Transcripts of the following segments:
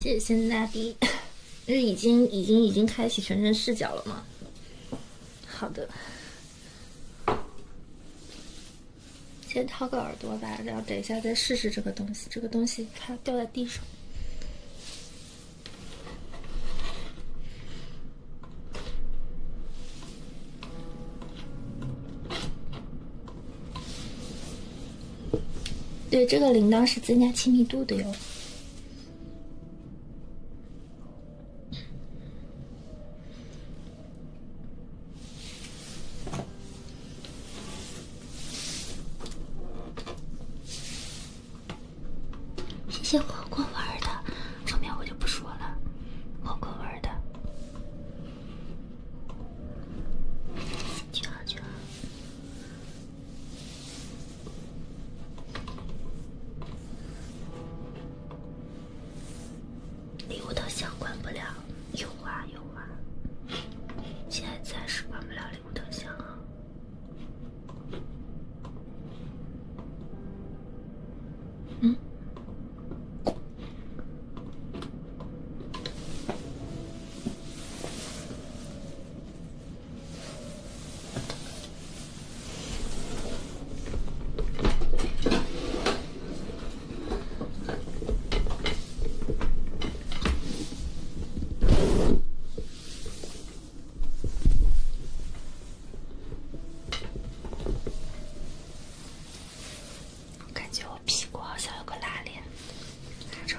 谢谢先大滴，因为已经已经已经开启全身视角了嘛。好的，先掏个耳朵吧，然后等一下再试试这个东西。这个东西它掉在地上。对，这个铃铛是增加亲密度的哟。谢谢火锅味儿的，后面我就不说了，火锅味儿的。去啊去啊，礼物特效关不了，有啊有啊，现在暂时关不了礼物特效啊。嗯。我感觉我屁股好像有个拉链，哪着。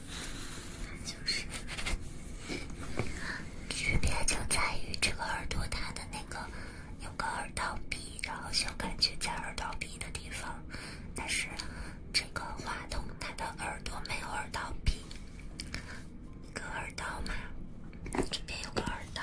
就是区别就在于这个耳朵，它的那个有个耳道壁，然后嗅感觉在耳道壁的地方。但是这个话筒，它的耳朵没有耳道壁，一个耳道嘛，这边有个耳道。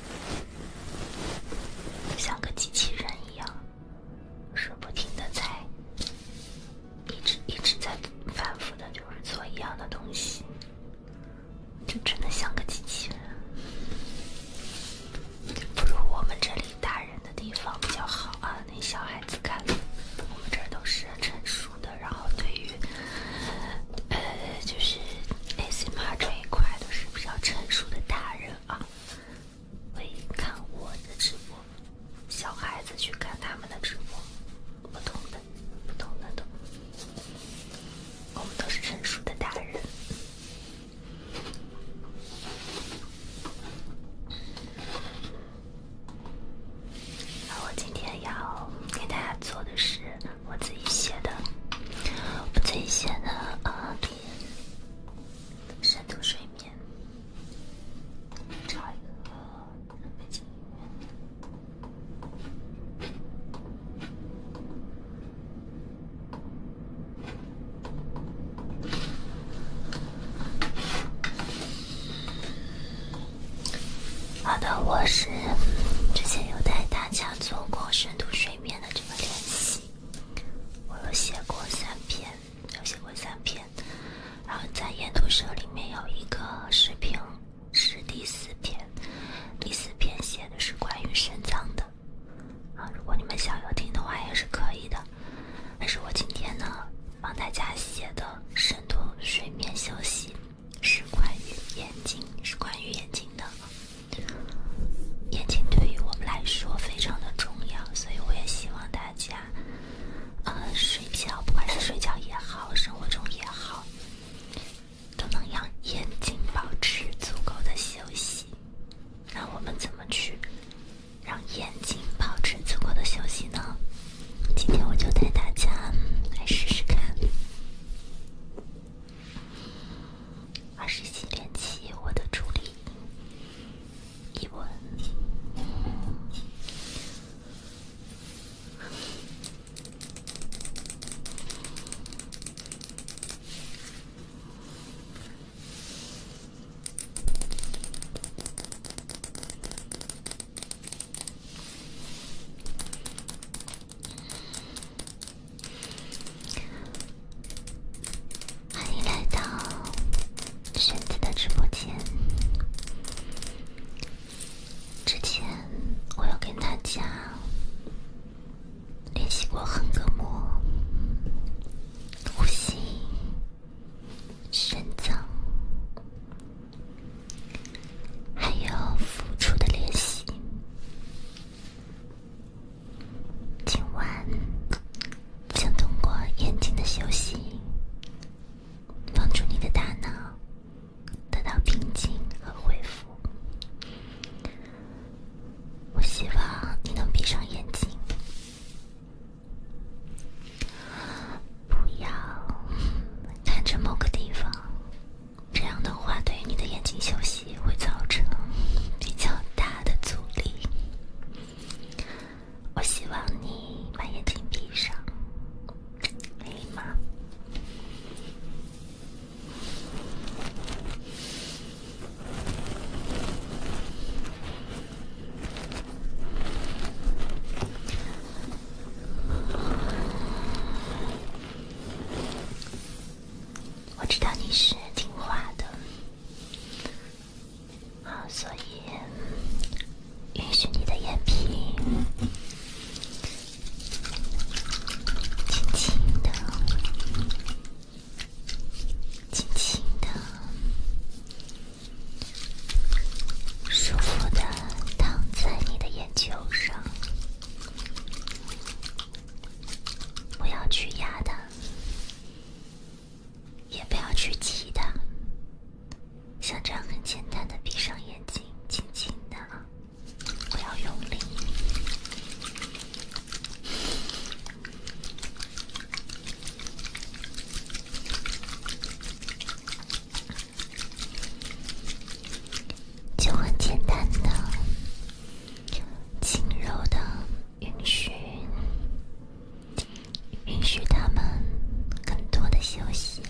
像个机器人一样，是不停的在，一直一直在反复的，就是做一样的东西，就真的像个机器人。不如我们这里大人的地方比较好啊，那小孩子看，我们这儿都是成熟的，然后对于。呃，就是 a c m 这一块都是比较成熟的大人啊，会看我的直播，小孩子去看他们的直播，不懂的，不懂的，懂。我们都是成熟的大人。那我今天要给大家做的是。我自己写的，我自己写的，啊，深度睡眠，找一个背景音乐。好的，我是之前有带大家。做过深度睡眠的这个练习，我有写过三篇，有写过三篇，然后在研读社里面有一个视频，是第四篇，第四篇写的是关于肾脏的，啊，如果你们想要听的话也是可以的，但是我今天呢，帮大家写的深度睡眠休息。是关于眼睛，是关于眼睛的。眼睛对于我们来说非常的重要，所以我也希望大家，呃，睡觉，不管是睡觉也好，生活中也好，都能让眼睛保持足够的休息。那我们怎么去让眼睛保持足够的休息呢？今天我就带大家来试试看。二十七点七，我的助理一文。欢迎来到玄子的直播间。之前我有跟大家练习过横膈膜、呼吸、肾脏，还有付出的练习。今晚，想通过眼睛的休息，帮助你的大脑得到平静和恢复。我希望你能闭上眼睛，不要看着某个地方。这样的话，对于你的眼睛休息会造成比较大的阻力。我希望你把眼睛闭上，可以吗？我知道你是听话的，好，所以允许你的眼皮轻轻的、轻轻的、舒服的躺在你的眼球上。不要去压它，也不要去挤它，像这样很简单的闭上眼睛，轻轻的，不要用力，就很简单的。轻柔的，允许，允许他们更多的休息。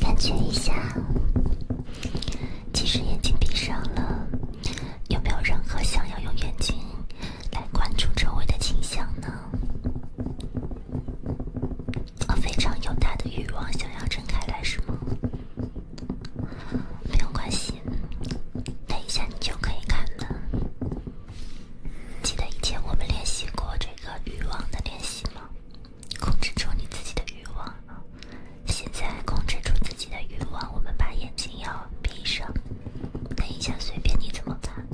感觉一下，即使眼睛闭上了，有没有任何想要用眼睛来关注周围的景象呢？我非常有他的欲望想要睁开来，是吗？没有关系，等一下你就可以看的。记得以前我们练习过这个欲望的练习吗？控制住你自己的欲望。现在控制住自己的欲望，我们把眼睛要闭上。等一下，随便你怎么看。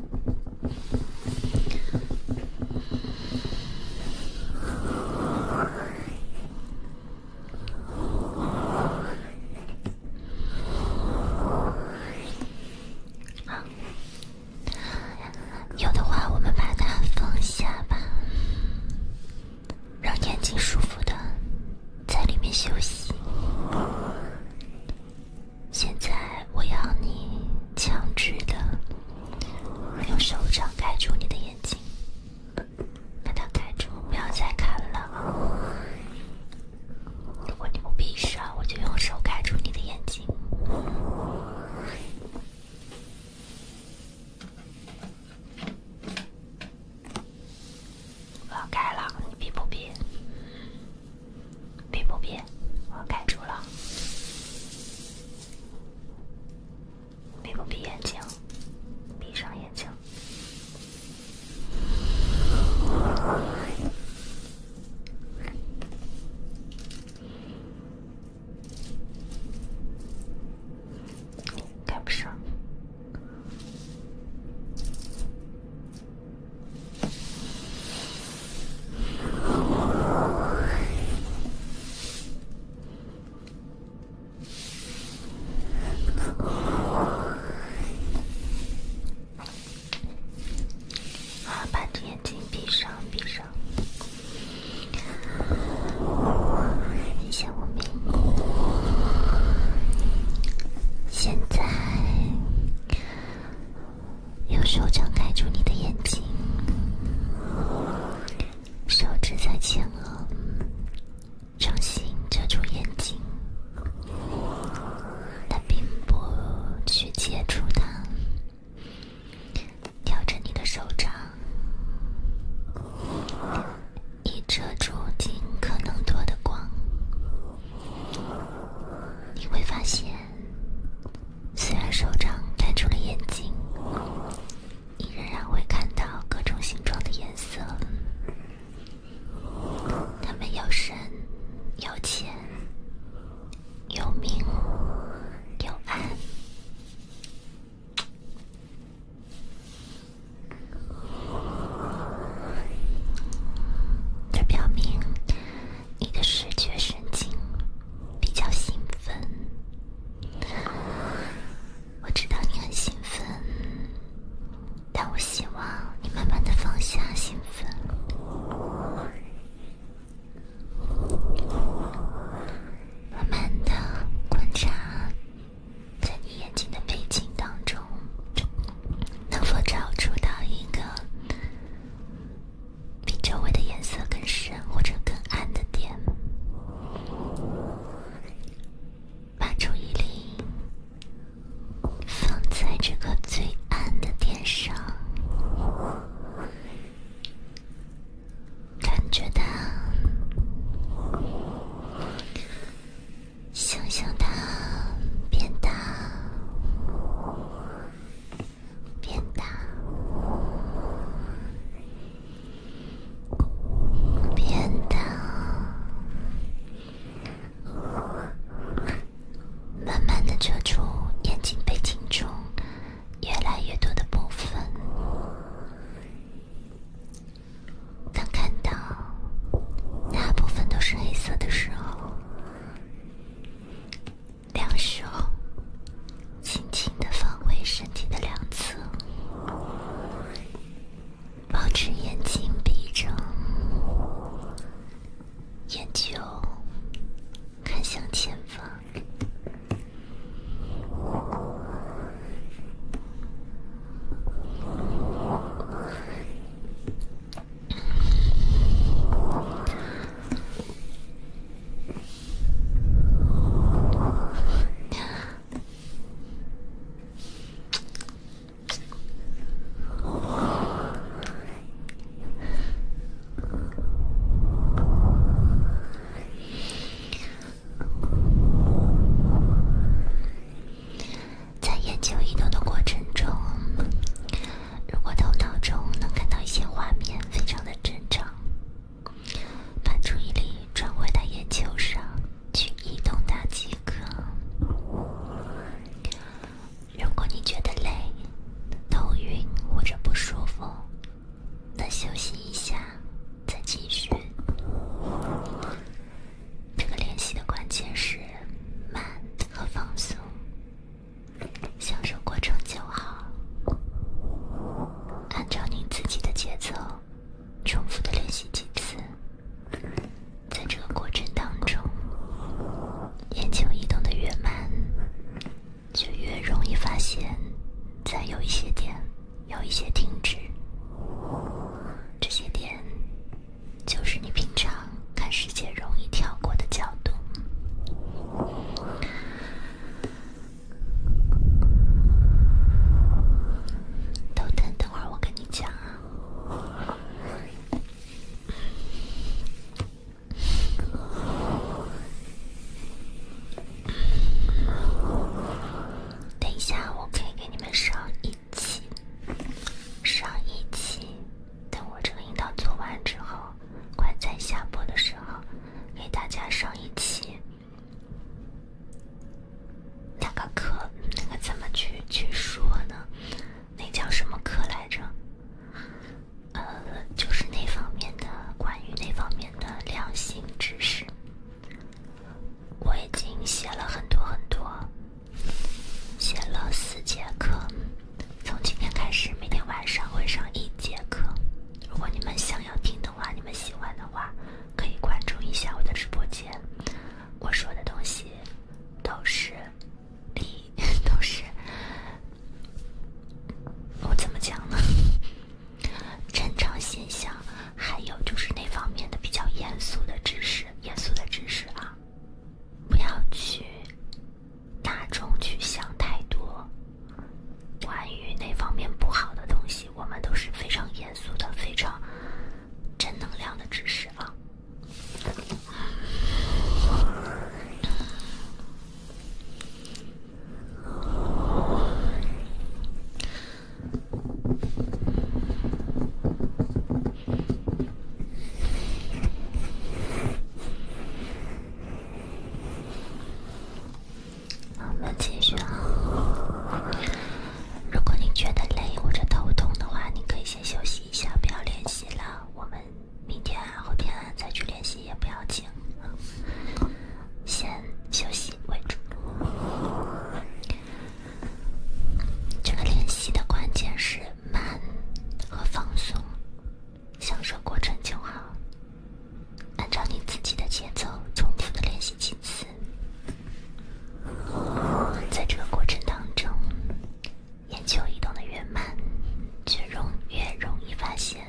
好 的话，我们把它放下吧，让眼睛舒服的在里面休息。现在，我要你强制的用手掌盖住你的眼睛。把它盖住，不要再看了。如果你不闭上，我就用手盖住你的眼睛。我要盖了，你闭不闭？闭不闭？我要盖住了。闭不闭眼睛？闭上眼睛，不上。好，把眼睛闭上，闭上。等一下，我闭。现在，用手掌盖住你的眼睛，手指在前额。掌心遮住眼睛，但并不去接触它。调整你的手掌，以遮住尽可能多的光。你会发现，虽然手掌盖住了眼睛。你仍然会看到各种形状的颜色，它们有深、有浅、有明、有暗。这表明你的视觉神经比较兴奋。我知道你很兴奋，但我希望你慢慢的放下兴奋，慢慢的观察，在你眼睛的背景当中，能否找出到一个比周围的颜色更深或者更暗的点？把注意力放在这个最暗的点上，感觉它，想象它，变大，变大。变得，慢慢的遮住眼睛背景中越来越多的部分。当看到大部分都是黑色的时候，两手轻轻的放回身体的两侧。保持眼睛闭着，眼球看向前方。在眼球移动的过程中，如果头脑中能看到一些画面，非常的正常。把注意力转回到眼球上。去移动它即可。如果你觉得累、头晕或者不舒服，那休息一下再继续。这个练习的关键是慢和放松，享受过程就好。按照你自己的节奏，重复的练习几次。在这个过程当中，眼球移动的越慢，就越容易发现，在有一些点，有一些停止。这些点，就是你平常看世界容易跳过的角度。头疼，等会儿我跟你讲等一下，我可以给你们上一期，上一期。等我这个阴道做完之后，快在下播的时候给大家上一期。那个课，那个怎么去去说呢？那叫什么课来着？呃，就是那方面的，关于那方面的良心知识。我已经写了很多很多，写了四节课。从今天开始，每天晚上会上一节课。如果你们想要听的话，你们喜欢的话，可以关注一下我的直播间。我说的东西。都是，都是，我怎么讲呢？正常现象，还有就是那方面的比较严肃的知识，严肃的知识啊，不要去大众去想太多关于那方面不好的东西，我们都是非常严肃的，非常正能量的知识啊。我们继续。如果你觉得累或者头痛的话，你可以先。先休息一下，不要练习了。我们明天、后天再去练习也不要紧，先休息为主。这个练习的关键是慢和放松，享受过程就好。按照你自己的节奏，重复的练习几次。在这个过程当中，眼球移动的越慢，越容越容易发现，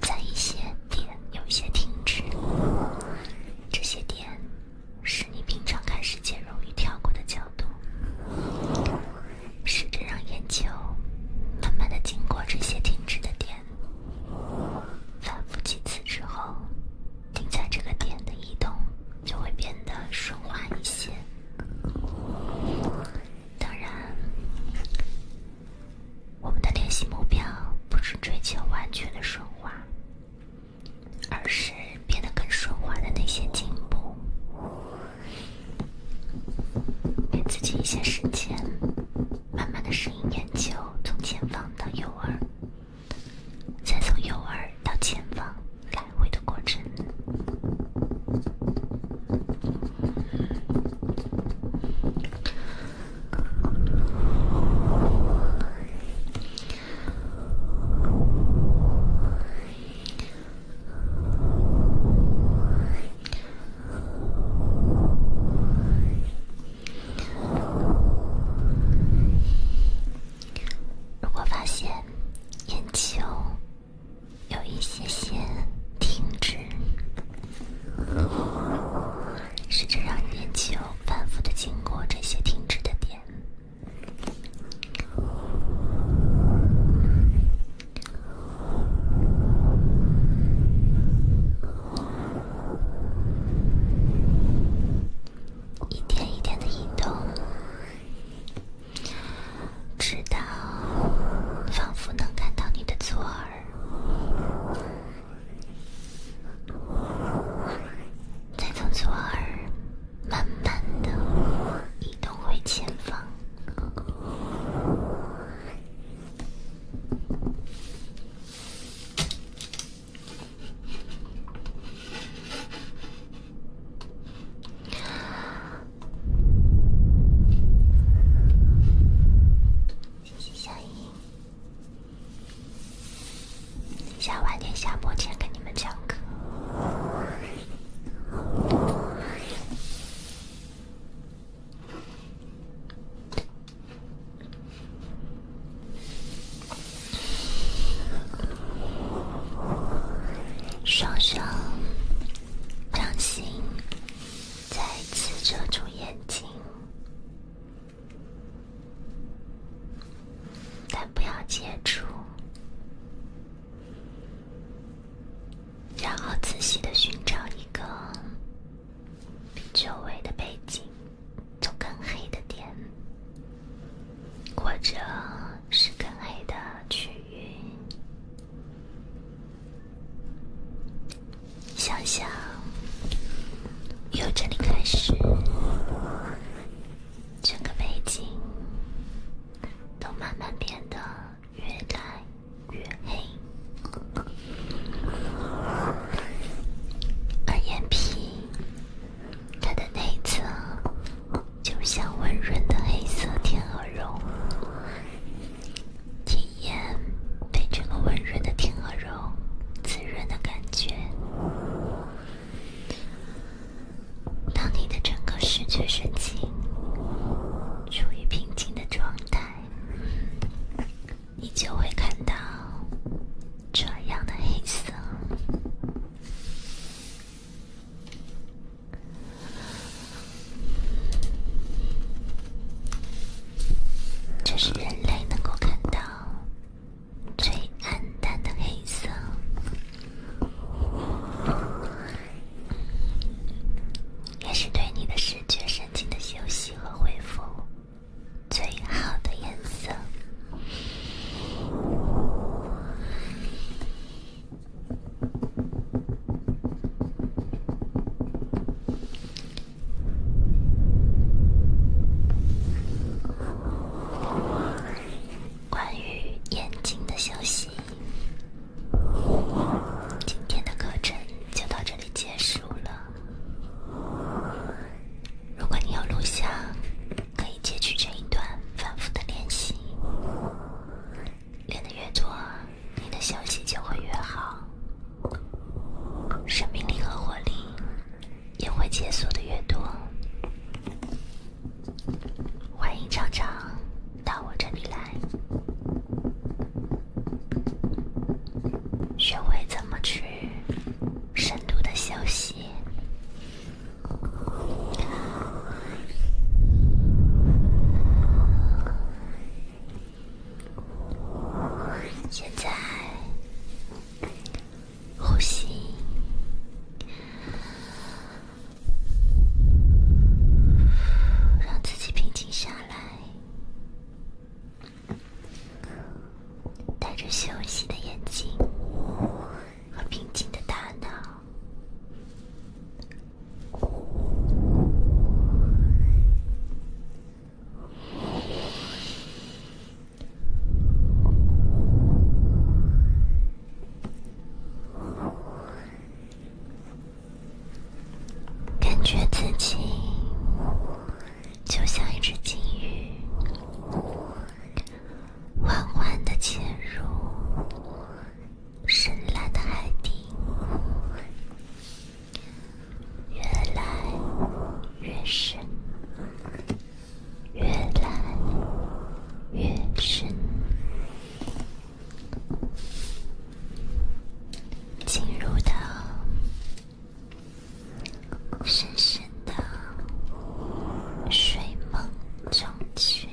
在一些点有一些停止。这些点是你平常看世界容易跳过的角度。试着让眼球慢慢的经过这些停止的点，反复几次之后。停在这个点的移动就会变得顺滑一些。当然，我们的练习目标不是追求完全的顺滑，而是变得更顺滑的那些进步。给自己一些时间，慢慢的适应眼球从前方到右耳。再从右耳到前方开会的过程。如果发现眼球有一些些停止，试着让眼球反复的经过这些停止的点。一点一点的移动，直到仿佛能看到你的左耳，再从左耳慢慢的移动回前方。谢谢小姨，想晚点下播前跟你们讲课。双手掌心再次遮住眼睛，但不要接触，然后仔细的寻找一个比周围的背景，就更黑的点。或者是更黑的区域，想想，由这里开始，整个背景都慢慢变得越来越黑，而眼皮它的内侧。就像温润的黑色天鹅绒，体验被这个温润的天鹅绒滋润的感觉。当你的整个视觉神经处于平静的状态，你就会看到这样的黑色。这是人类能够看到最暗淡的黑色，也是对你的视觉神经的休息和恢复最好的颜色。关于眼睛的消息，今天的课程就到这里结束了。如果你有录像。可以截取这一段，反复的练习，练得越多，你的消息就会越好，生命力和活力也会解锁的越多。欢迎常常到我这里来，学会怎么去深度的休息。现在呼吸，让自己平静下来，带着休息的眼睛。和平静的大脑，感觉自己就像一只金鱼，缓缓的潜入。深蓝的海底，越来越深，越来越深，进入到深深的睡梦中去。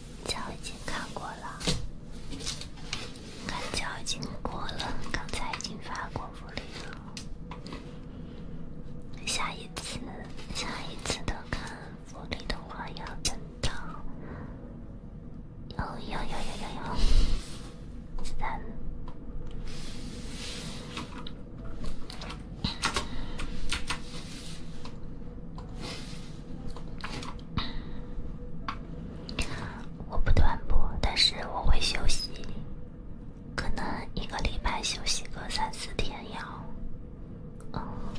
交已经看过了，看交已经过了，刚才已经发过福利了。下一次，下一次的看福利的话，要等到，幺幺幺幺幺幺，三。我不断播，但是我会休息，可能一个礼拜休息个三四天要，嗯，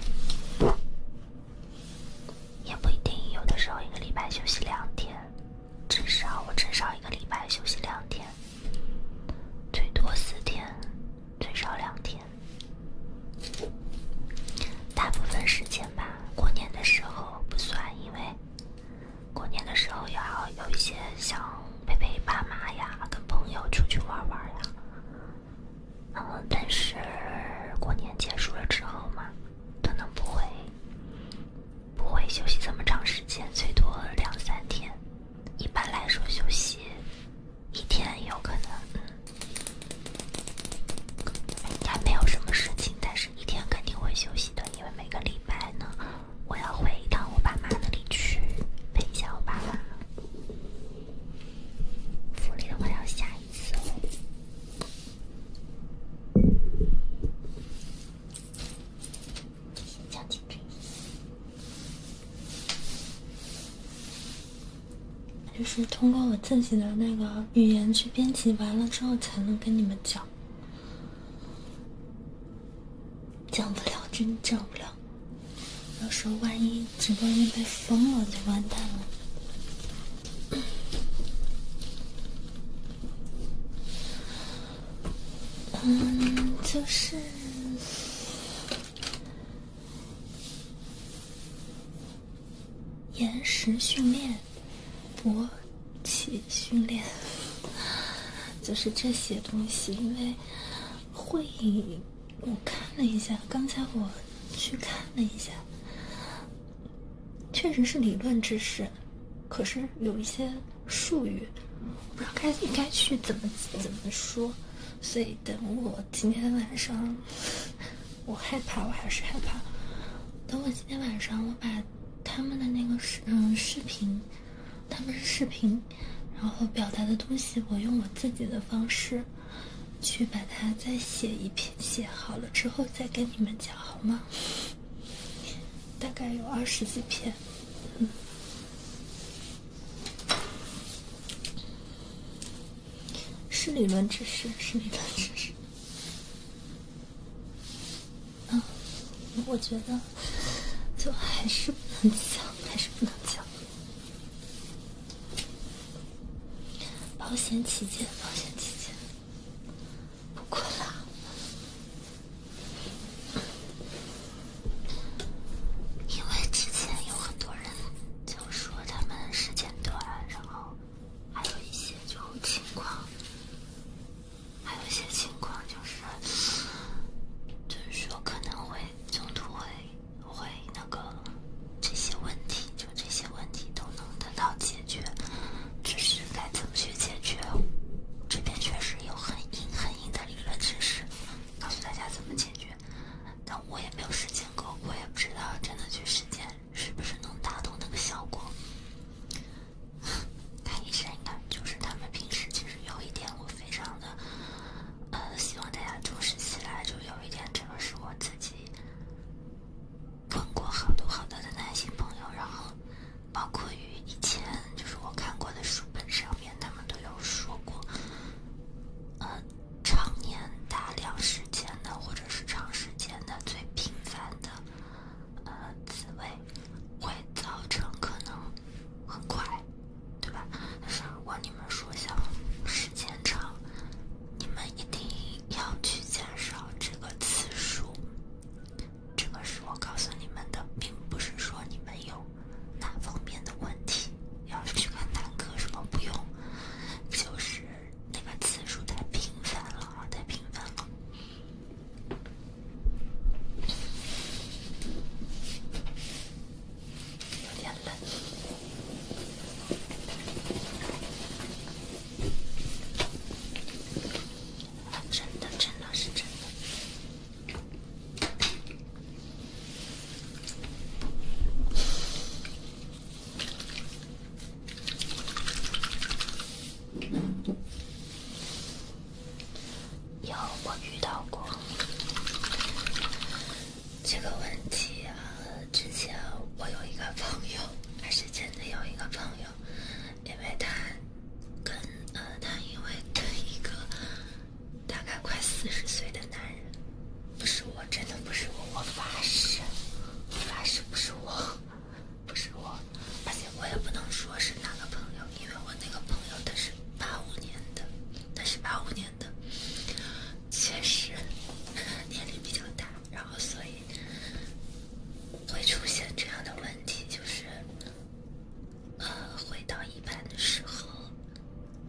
也不一定，有的时候一个礼拜休息两天，至少我至少一个礼拜休息两天，最多四天，最少两天，大部分时间吧。过年的时候不算，因为过年的时候要有一些想陪陪爸妈呀，跟朋友出去玩玩呀。嗯，但是过年结束了之后嘛，可能不会，不会休息这么长时间，最多两三天。一般来说，休息一天有可能。应该没有什么事情，但是一天肯定会休息的，因为每个礼拜呢，我要回到我爸妈那里去陪一下我爸爸。福利的话要下一次哦。将近这一。就是通过我自己的那个语言去编辑完了之后才能跟你们讲，讲不了，真讲不了。到时候万一直播间被封了，就完蛋了。嗯，就是。延时训练、勃起训练，就是这些东西。因为会议，我看了一下，刚才我去看了一下，确实是理论知识。可是有一些术语，我不知道该应该去怎么怎么说，所以等我今天晚上。我害怕，我还是害怕。等我今天晚上我把他们的那个视嗯视频，他们是视频，然后表达的东西，我用我自己的方式去把它再写一篇，写好了之后再跟你们讲好吗？大概有二十几篇，嗯，是理论知识，是理论知识。嗯，我觉得就还是不能讲，还是不能讲。保险起见，保险起见，不困啦。因为之前有很多人就说他们时间短，然后。还有一些就情况，还有一些情况就是，就是说可能会中途会会那个这些问题，就这些问题都能得到解决，只是该怎么去解决，这边确实有很硬很硬的理论知识，告诉大家怎么解决，但我也没有实践过，我也不知道真的去实践。是不是能打动那个效果？看医生，你看，就是他们平时其实有一点，我非常的，呃，希望大家重视起来。就有一点，这个是我自己问过好多好多的男性朋友，然后包括于以前就是我看过的书本上面，他们都有说过，呃，常年大量时间的，或者是长时间的最频繁的。呃，刺猬会造成可能很快，对吧？但是如果你们说想时间长，你们一定要去减少这个次数。这个是我告诉你们的，并不是说你们有哪方面的问题。要去看男科什么不用，就是。那个次数太频繁了，太频繁了，有点冷。真的，真的是真的。有我遇到过这个问题啊！之前我有一个朋友，还是真的有一个朋友，因为他跟呃，他因为跟一个大概快四十岁的男人，不是我，真的不是我，我发誓，发誓不是我。不是我，而且我也不能说是哪个朋友，因为我那个朋友他是八五年的，他是八五年的，确实年龄比较大，然后所以会出现这样的问题，就是呃，回到一般的时候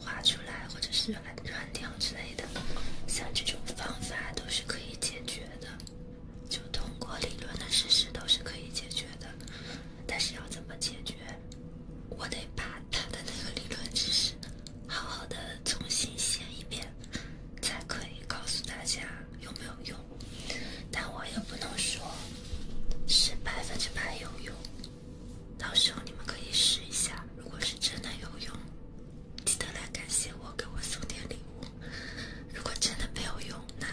画出来，或者是软软掉之类的，像这种方法都是可以解决的。就通过理论的事实都是可以解决的，但是要怎么解决，我得把他的那个理论知识好好的重新写一遍，才可以告诉大家有没有用。但我也不能说是百分之百有用，到时候你们可以试一下，如果是真的有用。记得来感谢我，给我送点礼物。如果真的没有用，那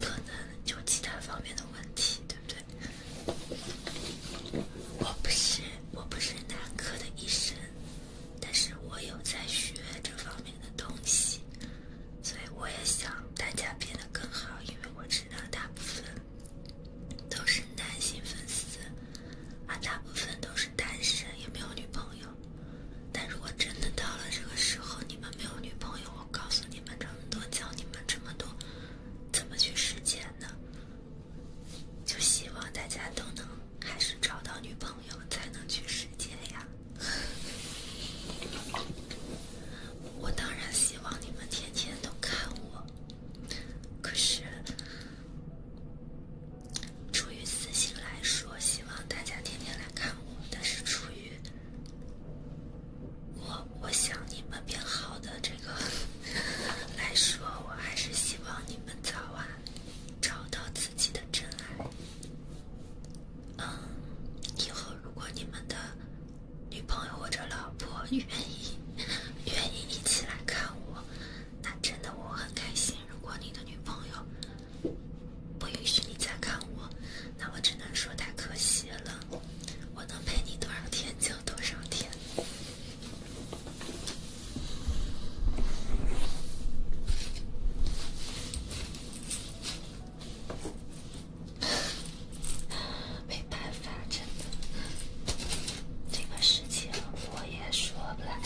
可能就其他方面的问题，对不对？我不是我不是男科的医生，但是我有在学这方面的东西，所以我也想大家变得更好，因为我知道大部分都是男性粉丝，而大部分都是单身，也没有女朋友。但如果真的到了这个时候，你们没有女朋友，我告诉你们这么多，教你们这么多，怎么去世界呢？就希望大家都能还是找到女朋友，才能去世界呀。我当然希望你们天天都看我，可是。出于私心来说，希望大家天天来看我。但是出于我我想你们变好的这个 来说，我还是希望你们早晚找到自己的真爱。嗯，以后如果你们的女朋友或者老婆愿意愿意一起来看我，那真的我很开心。如果你的女朋友。不允许你再看我，那我只能说太可惜了。我能陪你多少天就多少天，没办法，真的，这个事情我也说不来。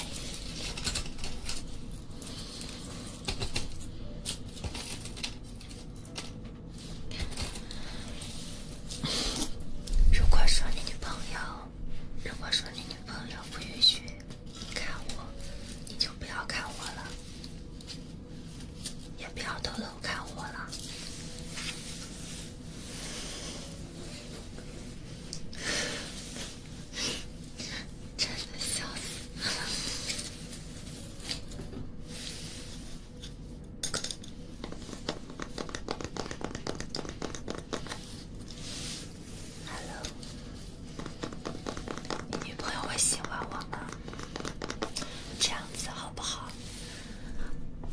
如果说你女朋友，如果说你女朋友不允许你看我，你就不要看我了，也不要偷偷看我了。真的笑死 h e l l 朋友会喜欢我吗？这样子好不好？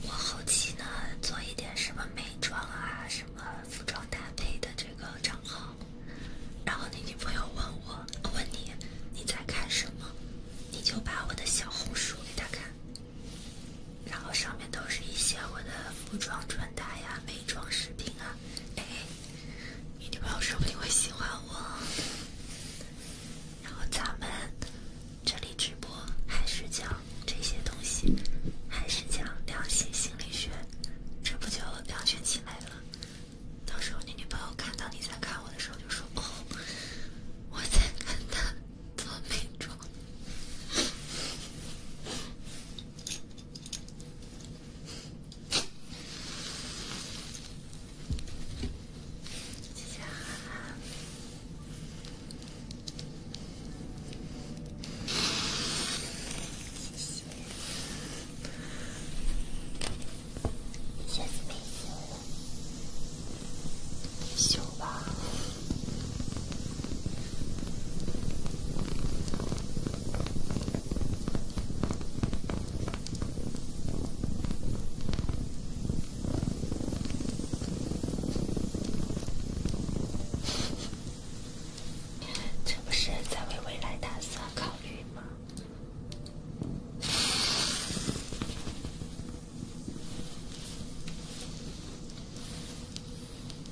我后期呢，做一点什么美妆啊，什么服装搭配的这个账号。然后你女朋友问我，问你你在看什么，你就把我的小红书给她看，然后上面都是一些我的服装穿搭呀、美妆视频啊，哎，你女朋友说不定会喜欢我。然后咱们这里直播还是讲这些东西，还是讲两性心理学，这不就两全其美了？到时候你女朋友看到你在看我的时候，就说：“哦，我在看他做美妆。”谢谢哈。修吧，这不是在为未来打算考虑吗？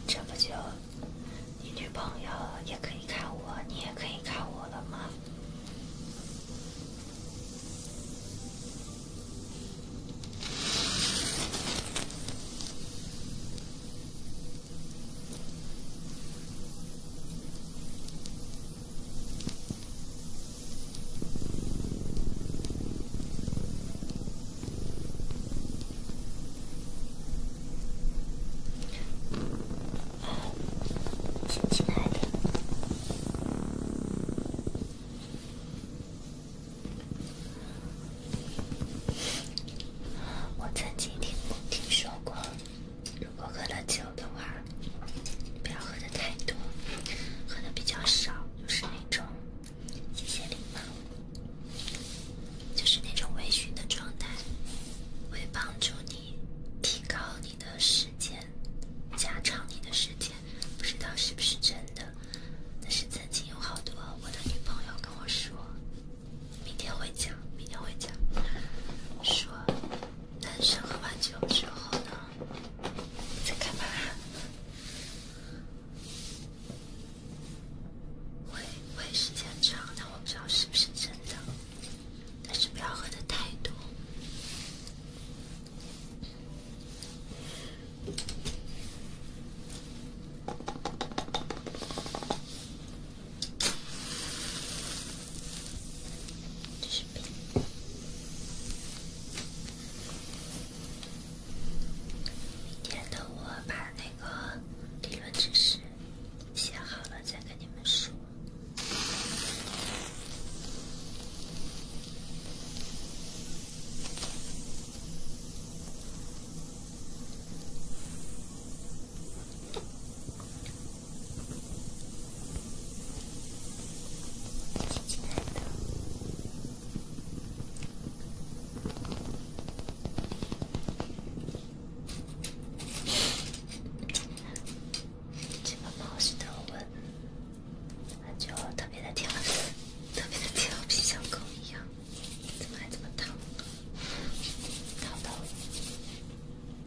这不就，你女朋友也可以看我，你也可以看我了吗？亲爱的，我曾经听听说过。如果喝了酒的话，不要喝的太多，喝的比较少，就是那种有些礼貌，就是那种微醺的状态，会帮助你提高你的时间，加长你的时间，不知道是不是真的，但是曾经有好多我的女朋友跟我说，明天会讲，明天会讲，说。男生喝完酒之后呢，在干嘛？喂喂，时间长，那我不知道是不是真的，但是不要喝的太多。明天等我把那个理论知识写好了再跟你们说。以这把猫屎的我就特别的调皮，像狗一样，怎么还这么淘？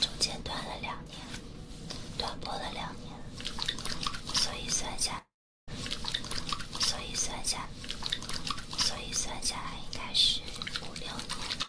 中间断了两年，断播了两年，所以算下，所以算下，所以算下，来应该是五六年。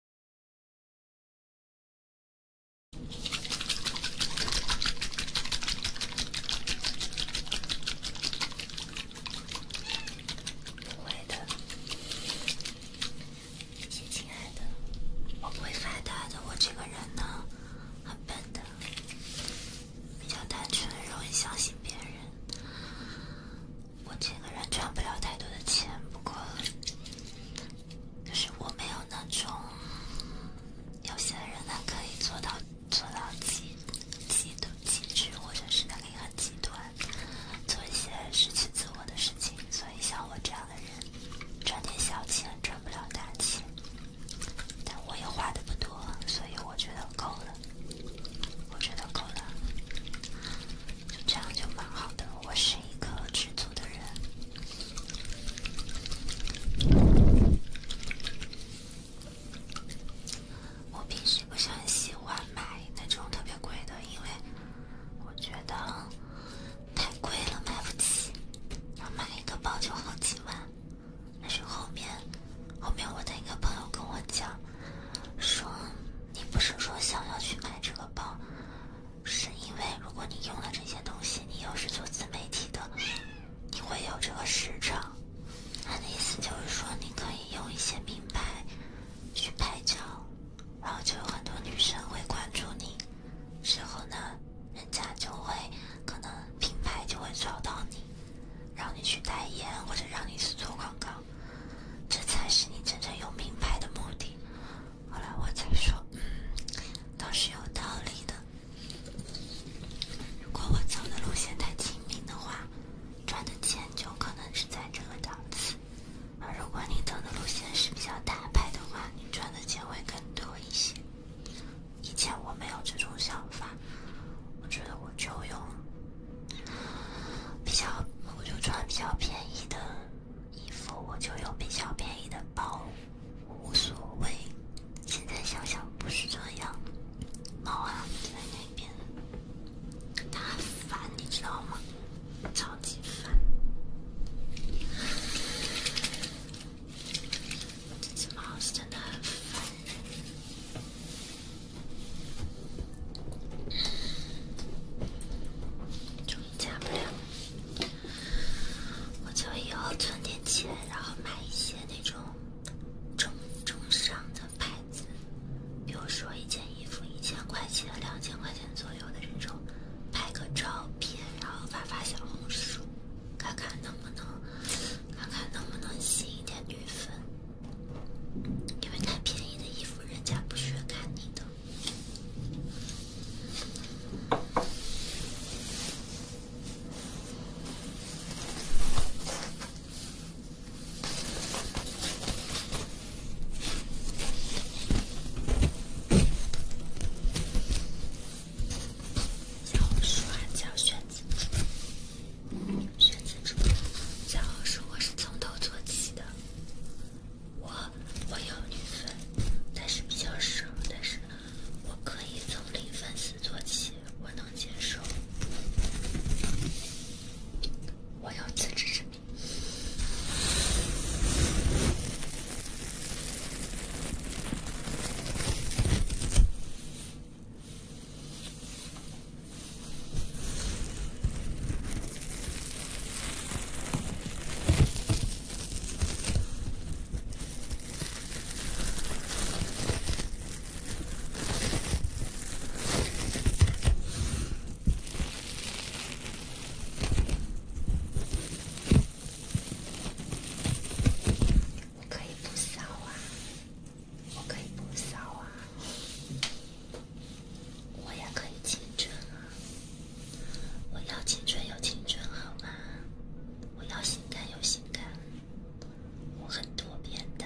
不会的，亲爱的，我不会发达的。我这个人呢，很笨的，比较单纯，容易相信别人。我这个人赚不了太多的钱，不过。就是我没有那种，有些人他可以做到做到极极的极致，或者是他可以很极端，做一些失去自我的事情。所以像我这样的人，赚点小钱赚不了大钱，但我也花的不多，所以我觉得够了，我觉得够了，就这样就蛮好的。我是一个知足的人。我平时不是很喜欢买那种特别贵的，因为我觉得太贵了买不起，买一个包就好几万。但是后面，后面我的一个朋友跟我讲，说你不是说想要去买这个包？是因为如果你用了这些东西，你又是做自媒体的，你会有这个市场。他的意思就是说，你可以用一些名牌去拍照，然后就有很多女生会关注你，之后呢，人家就会可能品牌就会找到你，让你去代言或者让你去做广告，这才是你真正用名牌的目的。后来我再说，都是有道理的。如果我走的路线太平民的话，赚的钱就可能是在这个档次；而如果你走的路线是比较大牌的话，你赚的钱会更多一些。以前我没有这种想法，我觉得我就用比较，我就穿比较便宜的。衣服我就有比较便宜的包，无所谓。现在想想不是这样，猫啊在那边，它很烦，你知道吗？超级烦，这只猫真的烦，终于加不了。我就以后存点钱，然后买一些那种中中上的牌子，比如说一件衣服一千块钱、两千块钱左右的这种，拍个照片，然后发发小红书，看看能不能看看能不能吸一点女粉，因为太便宜的衣服人家不屑看你的。教书还是选择。选择学生字。教书我是从头做起的。我我有女粉，但是比较少，但是我可以从零粉丝做起，我能接受，我有自知之明。我可以不骚啊，我可以不骚啊，我也可以清纯啊。我要青春有青春好吗？我要性感有性感，我很多变的。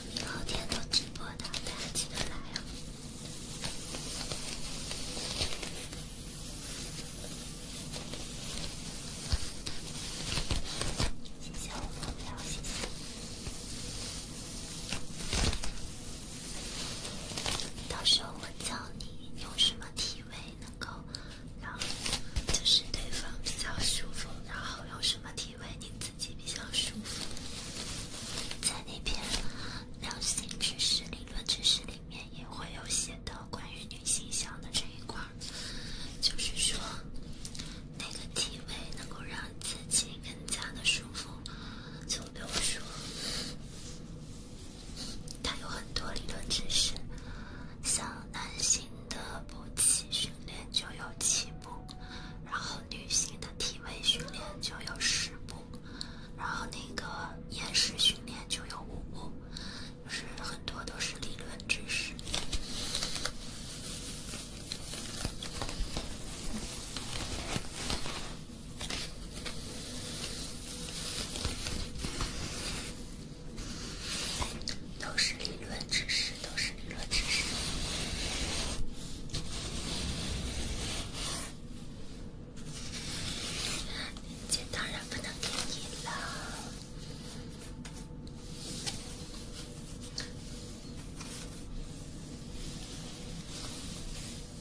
每天都直播的，大家记得来哦！到时候我教你用什么体位能够让就是对方比较舒服，然后用什么体位你。自己比较舒服，在那篇流行知识、理论知识里面也会有写的关于女性香的这一块就是说那个体位能够让自己更加的舒服。就比如说，它有很多理论知识，像男性的勃起训练就有七。步，然后女性的体位训练就有十步，然后那个演示训练就有五步，就是很多都是理论知识，都是理论知识，都是。理论知识，链接当然不能给你了。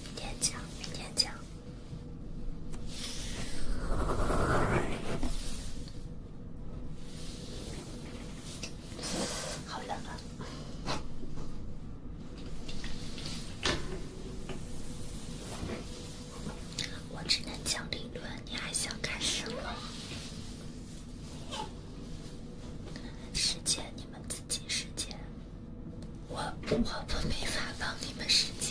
明天讲，明天讲。好冷啊！我只能讲理论，你还想干什么？实践你们自己实践，我我不没法帮你们实践。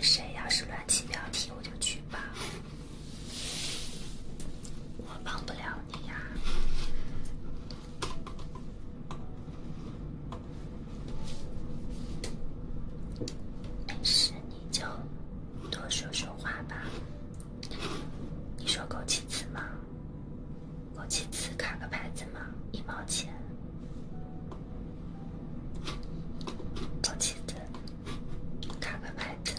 谁要是乱起标题，我就举报。我帮不了你呀。没事，你就多说说话吧。你说够几次吗？枸杞子卡个牌子吗？一毛钱。枸杞子卡个牌子。